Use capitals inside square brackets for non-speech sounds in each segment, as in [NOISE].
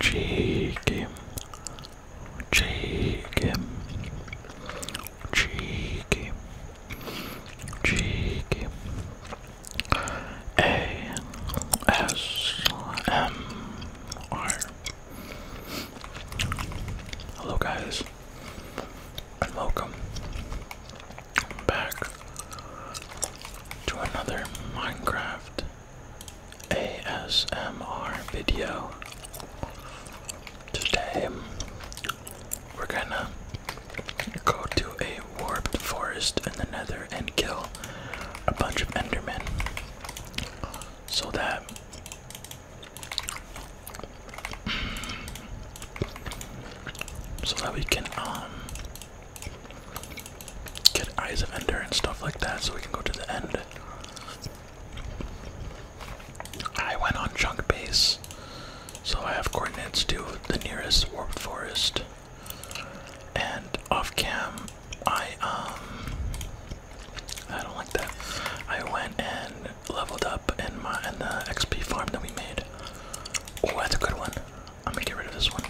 Cheeky, cheeky, cheeky, cheeky. A S M R. Hello, guys, and welcome back to another Minecraft ASMR video. Today we're gonna go to a warped forest in the nether and kill a bunch of endermen so that so that we can um Get Eyes of Ender and stuff like that so we can go to the end. I went on Chunk Base, so I have coordinates to the nearest Warped Forest. And off cam, I, um. I don't like that. I went and leveled up in, my, in the XP farm that we made. Oh, that's a good one. I'm get rid of this one.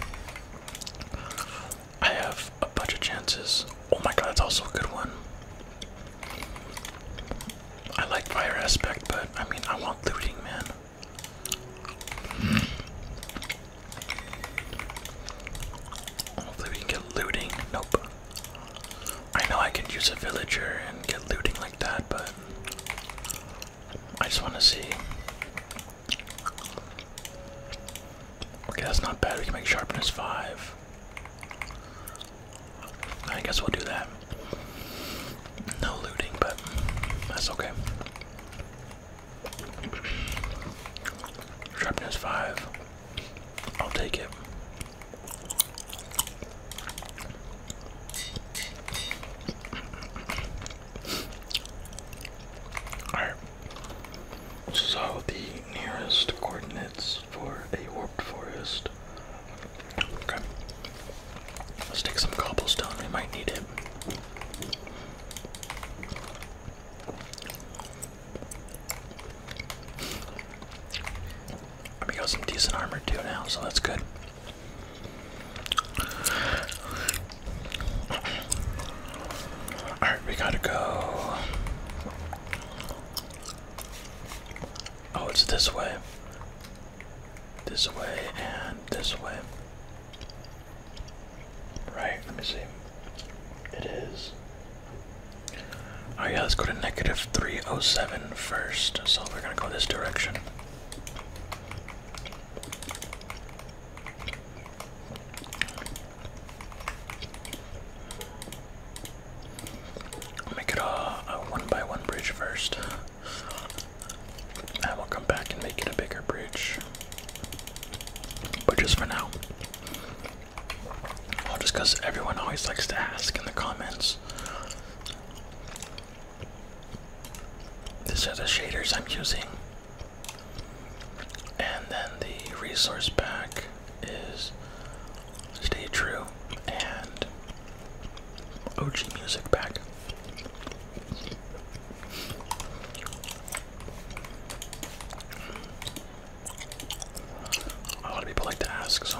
I have a bunch of chances. Oh my god, that's also a good one. I like fire aspect, but I mean, I want looting, man. Hopefully, we can get looting. Nope. I know I could use a villager and get looting like that, but I just want to see. Okay, that's not bad. We can make sharpness five. I guess we'll do that. No looting, but that's okay. Sharpness five. I'll take it. Alright. So the nearest coordinates for a warped forest. Okay. Let's take some cobblestone, we might need it. We got some decent armor too now, so that's good. Alright, we gotta go. Oh, it's this way. This way and this way. Right, let me see. It is. All right, yeah, let's go to negative 307 first. So we're gonna go this direction. Make it a, one by one bridge first. And we'll come back and make it a bigger bridge. But just for now. Well, just because everyone always likes to ask in the comments. These are the shaders I'm using. And then the resource pack is Stay True and OG Music Pack. A lot of people like to ask, so.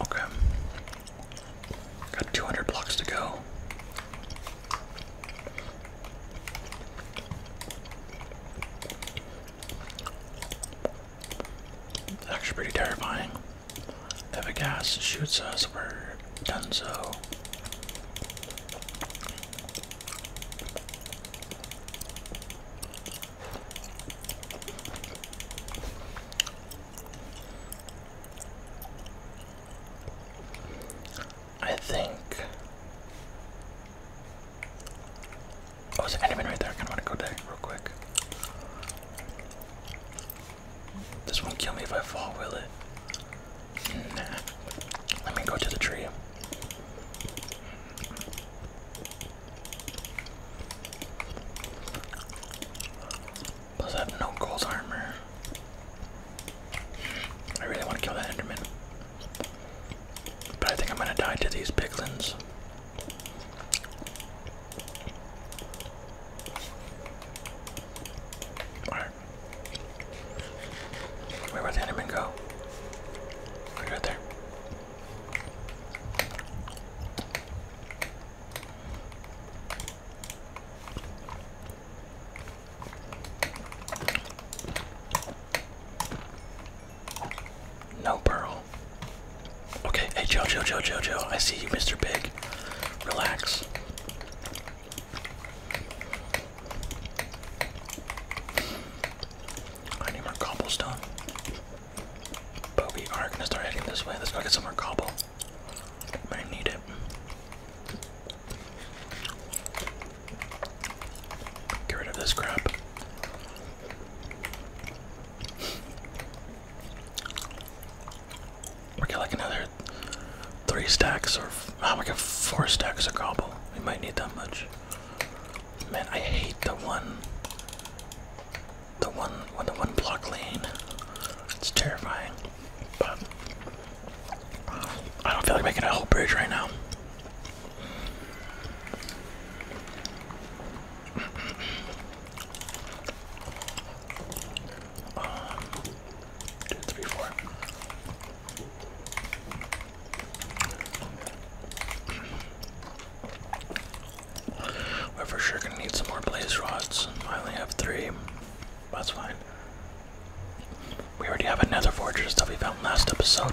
Okay. Got 200 blocks to go actually pretty terrifying. If a gas shoots us, we're done so. I think Oh, there's an enderman right there. I kind of want to go there real quick. This won't kill me if I fall, will it? Let me go to the tree. Plus, I have no gold armor. I really want to kill that enderman. But I think I'm gonna die to these piglins. Where would the enemy go? right there. No pearl. Okay, hey, Joe, Joe, Joe, Joe, Joe. I see you, Mr. Pig. Relax. I need more cobblestone. But we are gonna start heading this way. Let's go get some more cobble. I need it. Get rid of this crap. We got like another three stacks or oh, we got four stacks of gobble. We might need that much. Man, I hate the one, the one, the one block lane. It's terrifying. But I don't feel like making a whole bridge right now three, four. We're for sure gonna need some more blaze rods. I only have three. That's fine. We already have another fortress that we found last episode.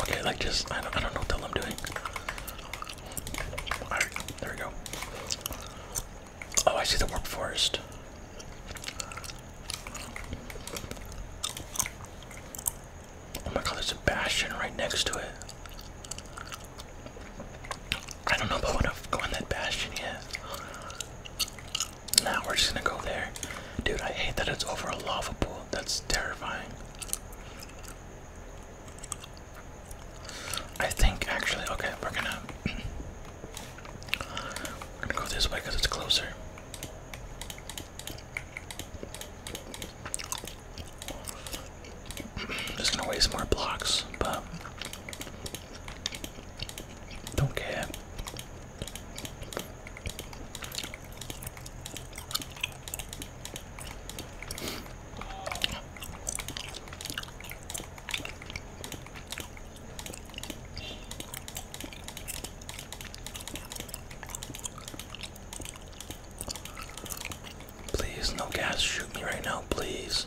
Okay, like just I don't I don't know what the hell I'm doing. there we go. Oh I see the work forest. Oh my god, there's a bastion right next to it. I don't know if I want to go in that bastion yet. Now we're just gonna go there. Dude, I hate that it's over a lava pool. That's terrifying. I think actually, okay, we're gonna [CLEARS THROAT] go this way because it's closer. [CLEARS THROAT] just gonna waste more blocks, but don't care. Please, no gas, shoot me right now, please.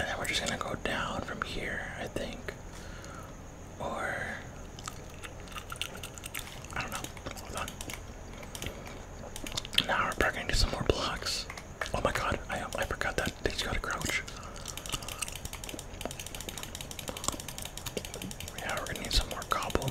And then we're just gonna go down from here, I think. Or I don't know. Hold on. Now we're probably gonna do some more blocks. Oh my god, I I forgot that thing's gotta crouch. Yeah, we're gonna need some more cobble.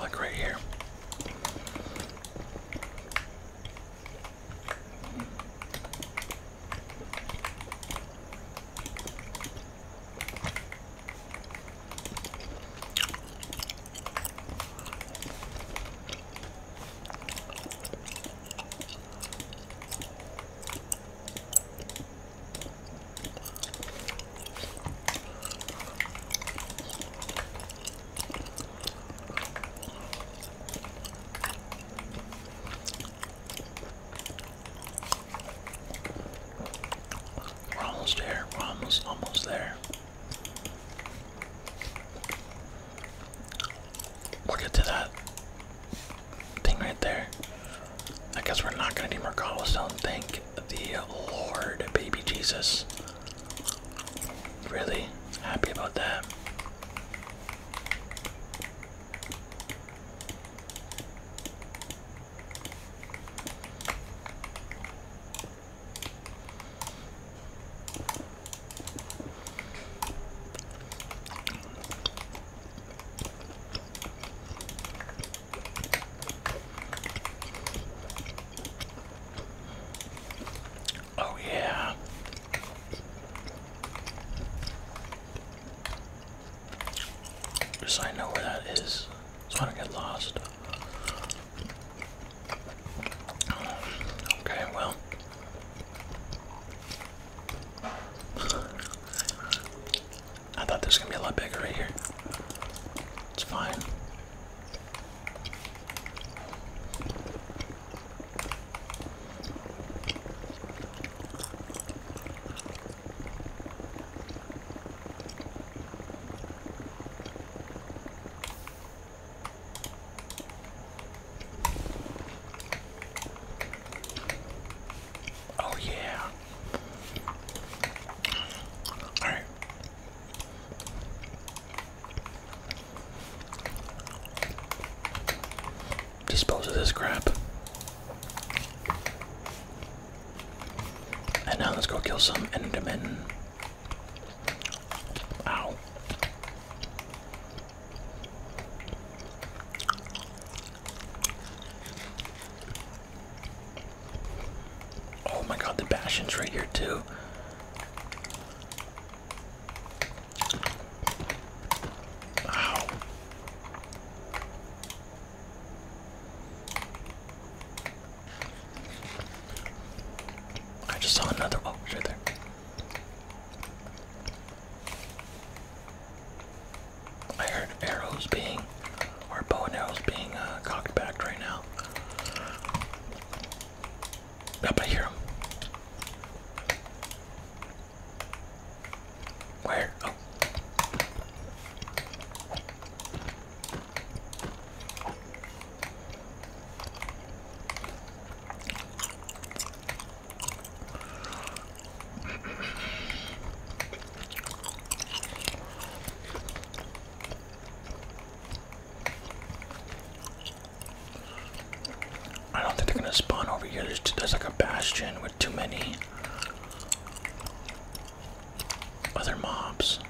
Like right here. We're almost there. We're almost, almost there. We'll get to that thing right there. I guess we're not gonna do more cobblestone. Thank the Lord, baby Jesus. Really happy about that. Oh, yeah. Just I know where that is, I don't get lost. Okay, well. I thought this was gonna be a lot bigger right here. It's fine. Oh, yeah. All right. Dispose of this crap. And now let's go kill some Endermen. Ow. Oh my god, the Bastion's right here too. Wow. I just saw another oh right there. I heard arrows being our bow and arrows being uh, cocked back right now. I hear him. Where? Oh. I don't think they're gonna spawn over here. There's, there's like a bastion with too many other mobs.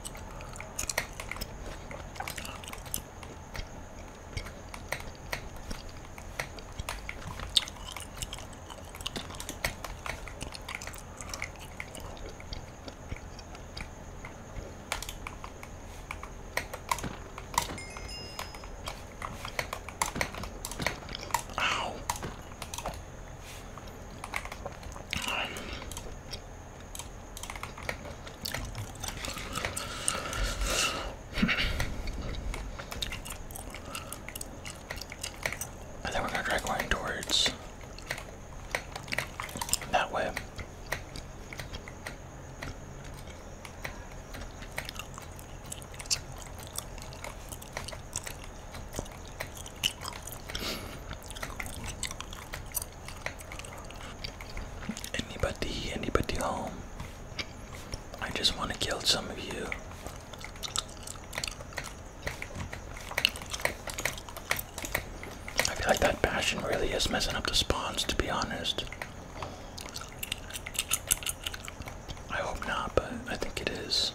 Ow. And then we're gonna drag line towards that way. Anybody, anybody home? I just want to kill some of you. I feel like that passion really is messing up the spawns, to be honest. I hope not, but I think it is.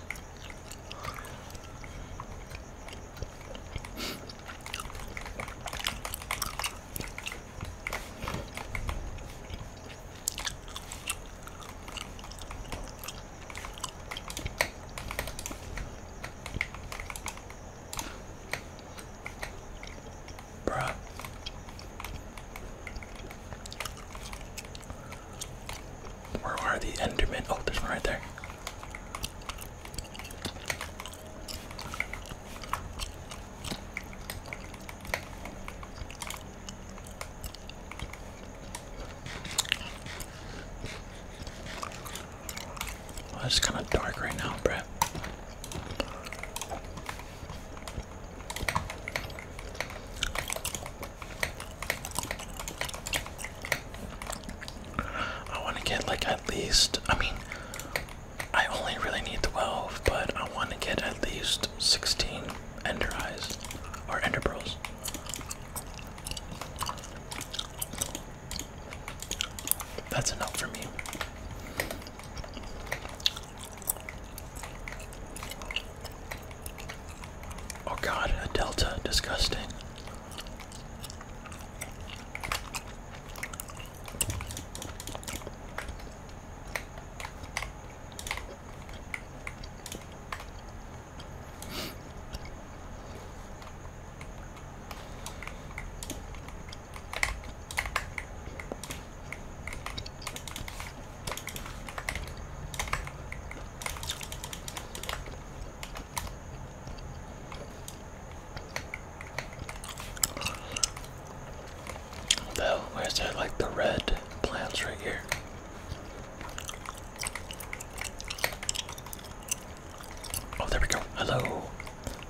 Bruh. Where are the Endermen? Oh, there's one right there it's kind of dark right now, bruh. I want to get like at least, I mean, I only really need 12, but I want to get at least 16 ender eyes or ender pearls. That's enough for me. Oh god, a delta, disgusting. Though, where's that like the red plants right here? Oh, there we go. Hello.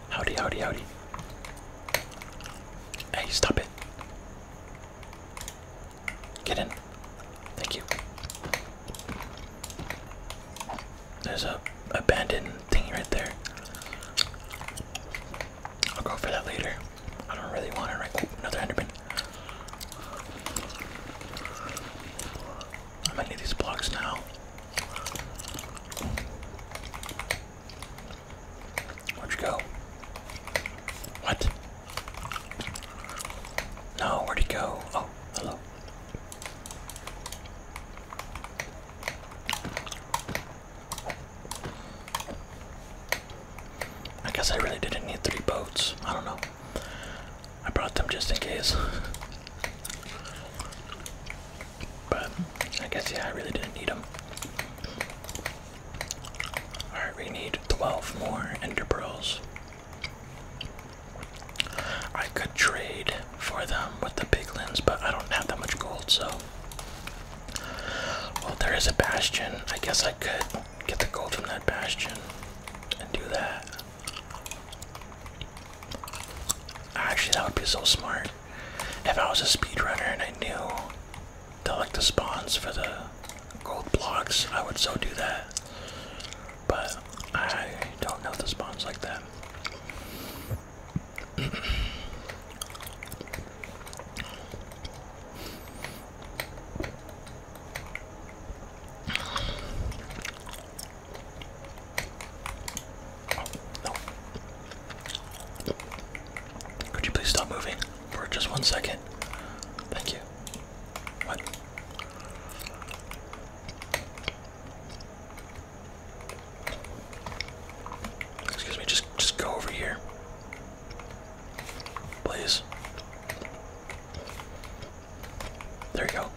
Howdy, howdy, howdy. Hey, stop it. Get in. Thank you. There's a abandoned thing right there. I'll go for that later. I don't really want it right. now. another enderman. I'm gonna need these blocks now. Where'd you go? What? No, where'd he go? Oh, hello. I guess I really didn't need three boats. I don't know. I brought them just in case. But I guess, yeah, I really didn't need them. Alright, we need 12 more ender pearls. I could trade for them with the piglins, but I don't have that much gold, so. Well, there is a bastion. I guess I could get the gold from that bastion and do that. Actually, that would be so smart. If I was a speedrunner and I knew to like the spawns for the gold blocks, I would so do that. But I don't know the spawns like that. Oh, Could you please stop moving for just one second? Thank you. Excuse me, just just go over here. Please. There you go.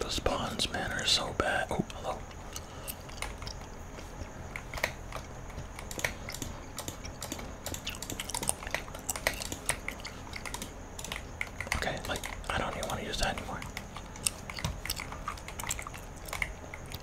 The spawns, man, are so bad. Oh, hello. Okay, like, I don't even want to use that anymore.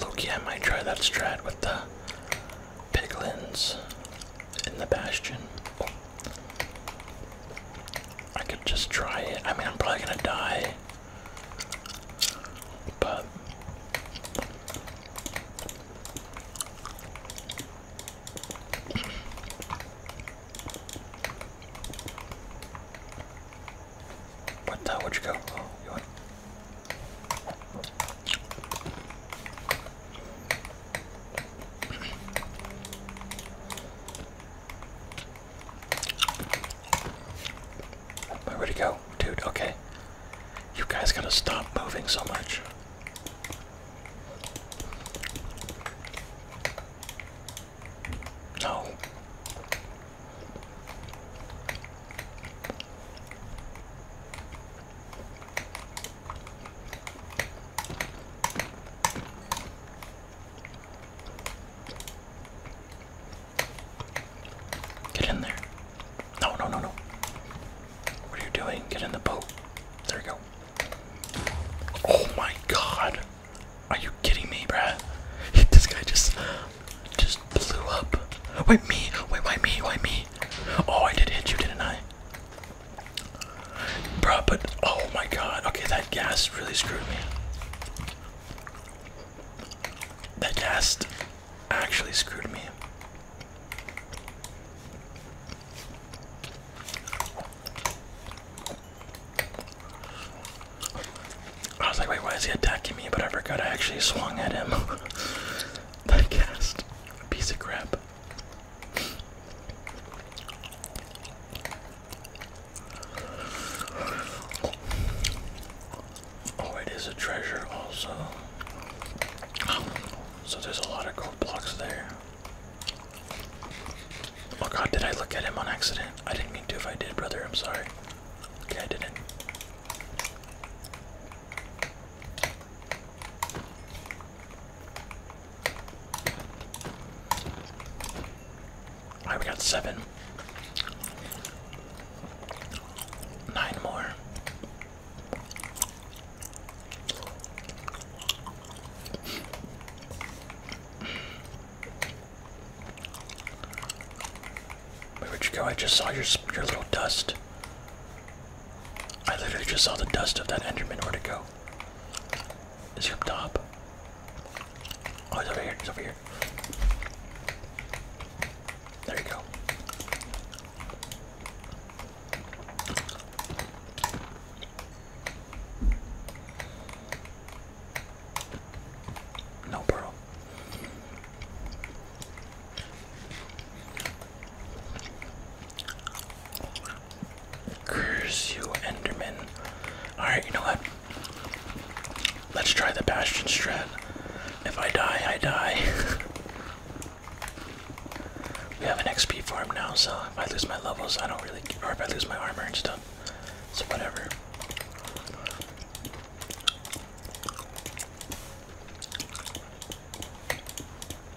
Loki, I might try that strat with the piglins in the bastion. I could just try it. I mean, I'm probably gonna die. But what the? Where'd you go? Oh, Where'd to go? Dude, okay. You guys gotta stop moving so much. No. Get in there. No, no, no, no. What are you doing? Get in the boat. There you go. Oh my god. Are you kidding me, bruh? [LAUGHS] This guy just just blew up. Why me? Wait, why me? Why me? Oh, I did hit you, didn't I? Bruh, but oh my god. Okay, that gas really screwed me. That gas actually screwed me. I was like, wait, why is he attacking me? But I forgot I actually swung at him. that [LAUGHS] cast. Piece of crap. Oh, it is a treasure also. So there's a lot of gold blocks there. Oh god, did I look at him on accident? I didn't mean to if I did, brother, I'm sorry. Okay, I didn't. Alright, we got seven. Nine more. Where would you go? I just saw your your little dust. I literally just saw the dust of that Enderman. Where'd it go? Is your top? Oh, he's over here. He's over here. There you go. No pearl. Curse you, Enderman. Alright, you know what? Let's try the Bastion Strad. If I die, I die. [LAUGHS] we have an XP farm now, so if I lose my levels, I don't really care. Or if I lose my armor and stuff, so whatever.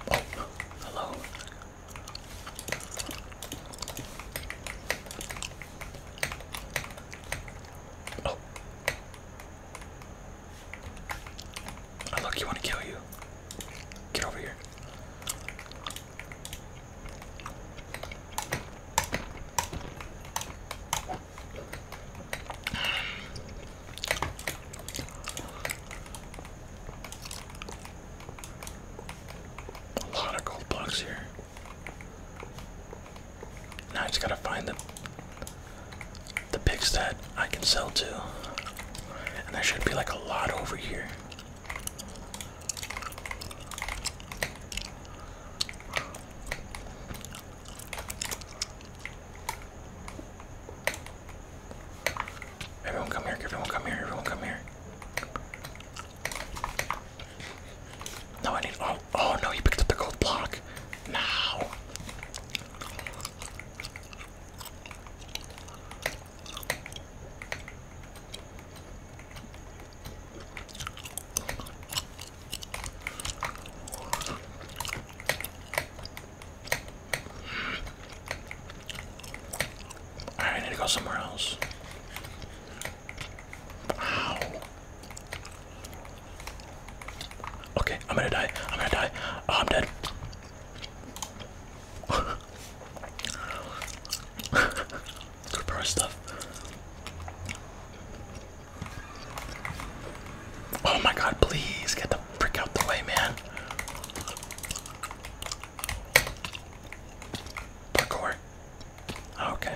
hello. Oh. I oh, look, you want to kill you. Get over here. A lot of gold blocks here. Now I just gotta find the the picks that I can sell to. And there should be like a lot over here. Everyone come here, everyone come here, everyone come here. No, I need. Oh, oh no, he picked up the gold block. Now. I need to go somewhere else. Wow. Okay, I'm gonna die. I'm gonna die. Oh, I'm dead. Good [LAUGHS] pro stuff. Oh my god, please get the frick out the way, man. Parkour. Okay.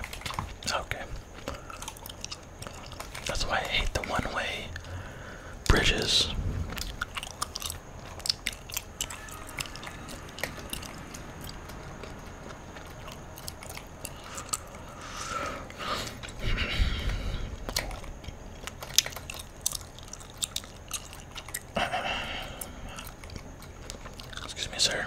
Okay. That's why I hate the one-way bridges. Excuse me, sir.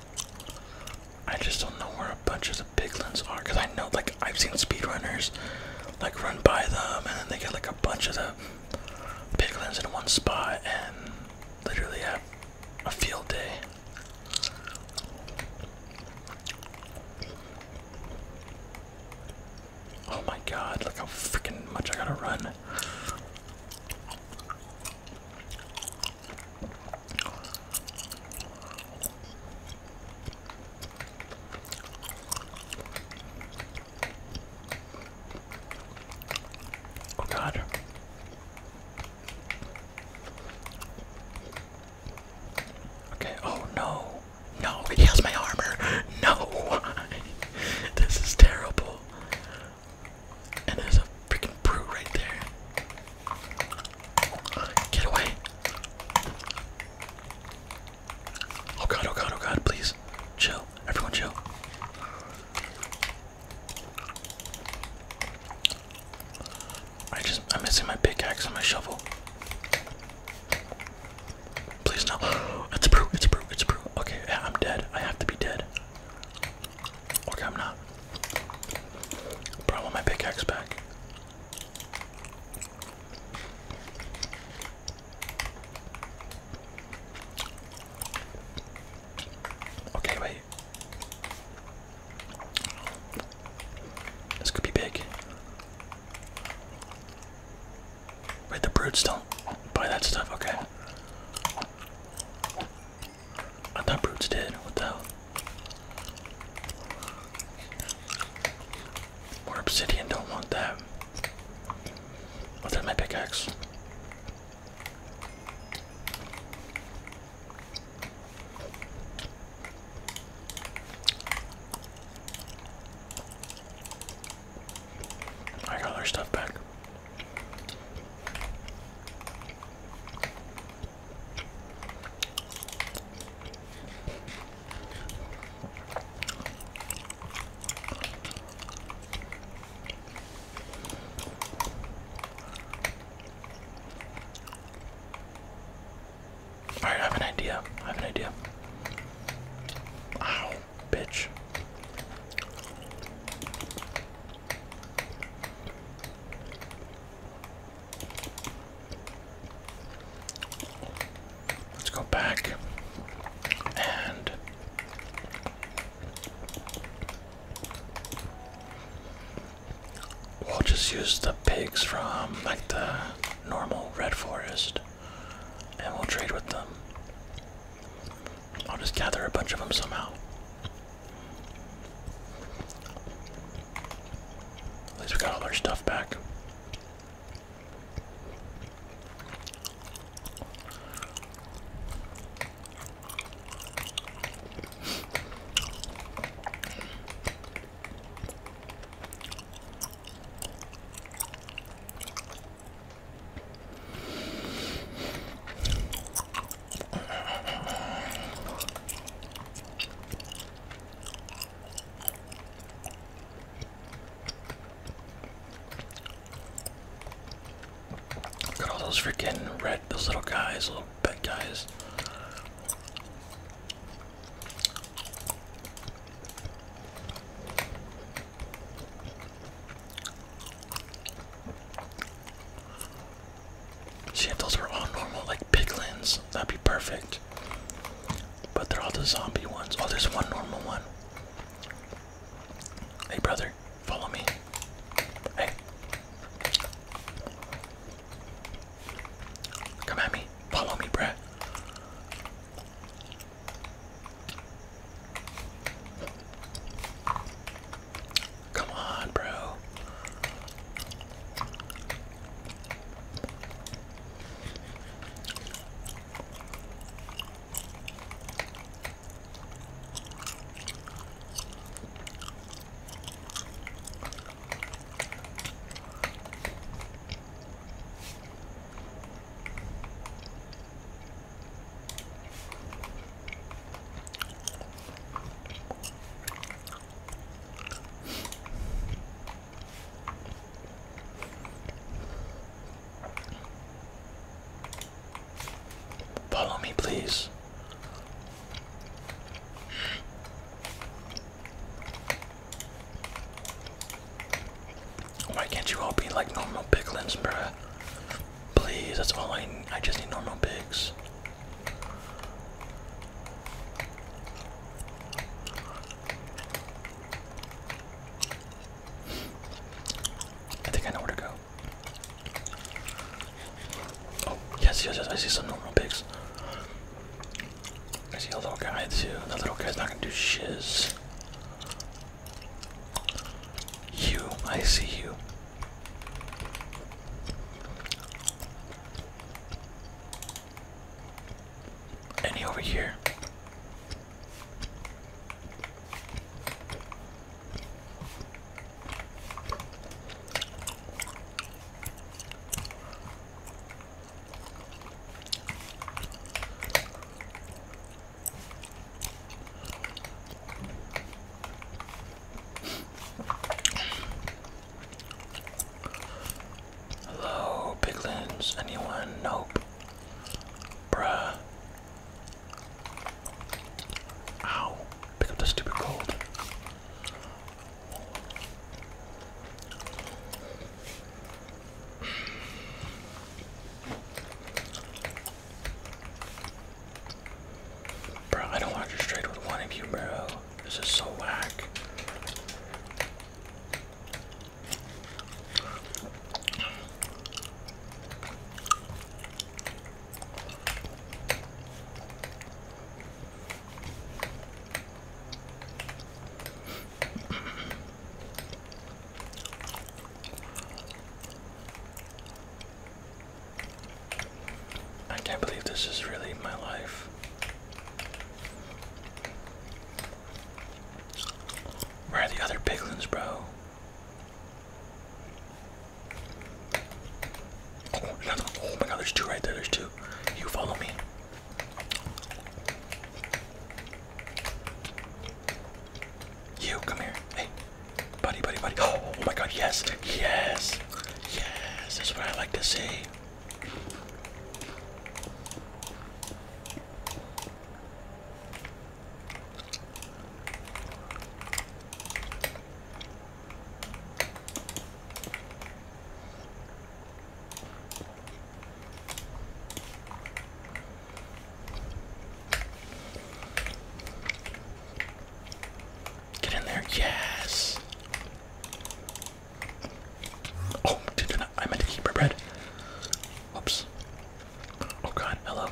I just don't know where a bunch of the piglins are because I know like I've seen speedrunners like run by them and then they get like a bunch of the piglins in one spot and literally have a field day. Oh my god, look how freaking much I gotta run. Oh God. Okay, oh no. No, he has my armor. No. [LAUGHS] this is terrible. And there's a freaking brew right there. Uh, get away. Oh god, oh god, oh god, please. Chill. Everyone chill. I just I'm missing my pickaxe and my shovel. Please no. [GASPS] It's a brew, it's a brew, it's a brew. Okay, I'm dead. I have to be dead. Okay, I'm not. But I my pickaxe back. Okay, wait. This could be big. Wait, the brutes don't buy that stuff, okay. I thought Brutes did. What the hell? More obsidian, don't want that. What's oh, that my pickaxe? I got all our stuff back. Alright, I have an idea. I have an idea. Ow, bitch. Let's go back and we'll just use the pigs from like the normal red forest and we'll trade with them. I'll just gather a bunch of them somehow. At least we got all our stuff back. Look at all those freaking red, those little guys, little pet guys. See if those were all normal, like piglins, that'd be perfect. But they're all the zombie ones. Oh, there's one normal one. Hey, brother, follow me. Hey. Come at me. Follow me, Brett. Come on, bro. Follow me, please. Why can't you all be like normal piglins, bruh? Please, that's all I I just need normal pigs. I think I know where to go. Oh, yes, yes, yes, I see some normal pigs. I see a little guy too. That little guy's not gonna do shiz. You, I see you. Any over here? Hello, piglins. Anyone? Nope. Bruh. Ow. Pick up the stupid gold. Bro, I don't want to just trade with one of you, bro. This is so whack. I can't believe this is really my life. Where are the other piglins, bro? Oh, oh, my god, there's two right there, there's two. You follow me. You, come here. Hey, buddy, buddy, buddy. Oh, [GASPS] oh my god, yes, yes. Yes, that's what I like to see. Get in there. Yes. Oh, I, I meant to bread. Whoops. Oh god, hello.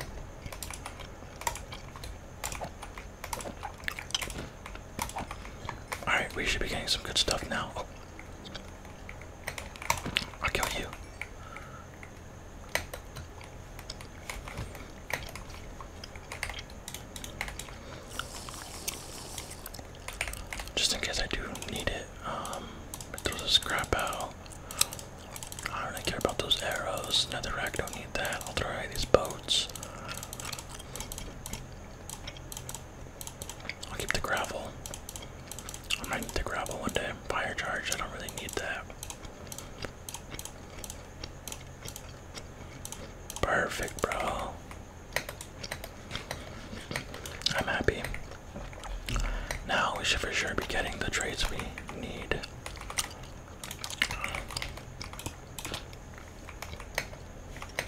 Alright, we should be getting some good stuff now. i kill you. Just in case I do need it, um, throw the scrap out. I don't really care about those arrows. Netherrack don't need that. I'll throw out these boats. I'll keep the gravel. I might need the gravel one day. Fire charge, I don't really need that. Perfect, bro. I'm happy. Now we should for sure be getting the trades we need.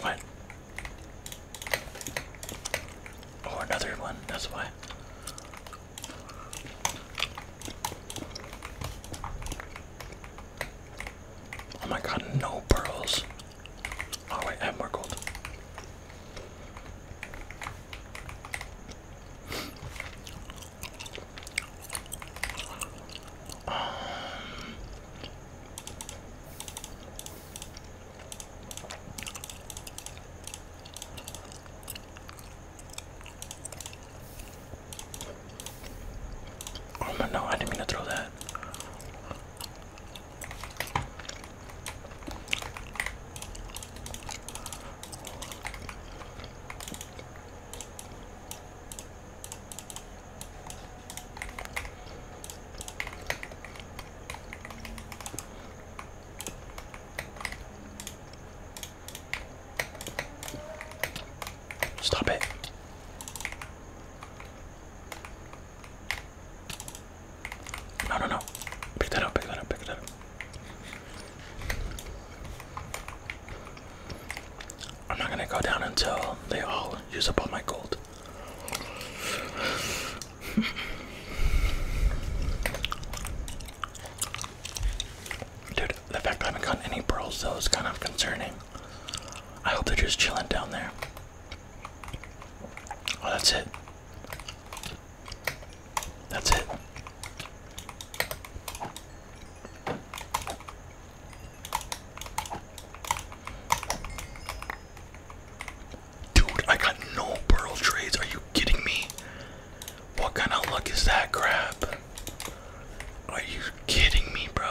What? Oh, another one, that's why. Oh my god, no pearls. Oh wait, I have more gold. Oh my no, I didn't mean to throw that. Stop it. No, no, no. Pick that up, pick that up, pick that up. I'm not gonna go down until they all use up all my gold. [LAUGHS] Dude, the fact I haven't gotten any pearls though is kind of concerning. I hope they're just chilling down there. Oh, that's it. That's it. Dude, I got no pearl trades. Are you kidding me? What kind of luck is that crap? Are you kidding me, bro?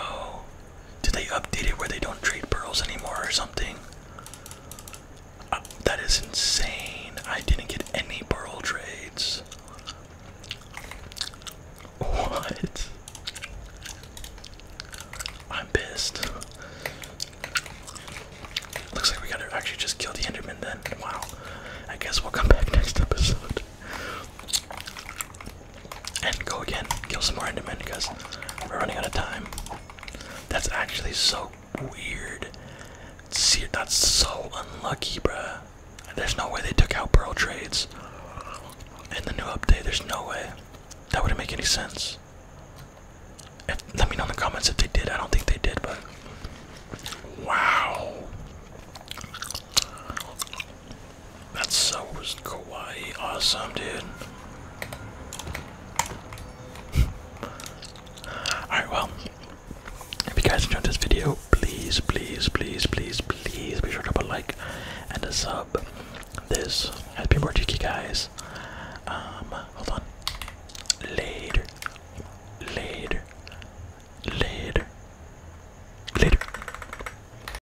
Did they update it where they don't trade pearls anymore or something? Uh, that is insane. I didn't get any pearl trades. What? I'm pissed. Looks like we gotta actually just kill the Enderman then. Wow. I guess we'll come back next episode. And go again, kill some more Endermen because we're running out of time. That's actually so weird. See, that's so unlucky, bruh. There's no way they took out Pearl Trades in the new update. There's no way. That wouldn't make any sense. let me know in the comments if they did. I don't think they did, but. Wow. That so was kawaii. Awesome, dude. [LAUGHS] Alright, well, if you guys enjoyed this video, please, please, please, please, please be sure to put like and a sub. This has been guys. Um, hold on. Later. Later. Later. Later.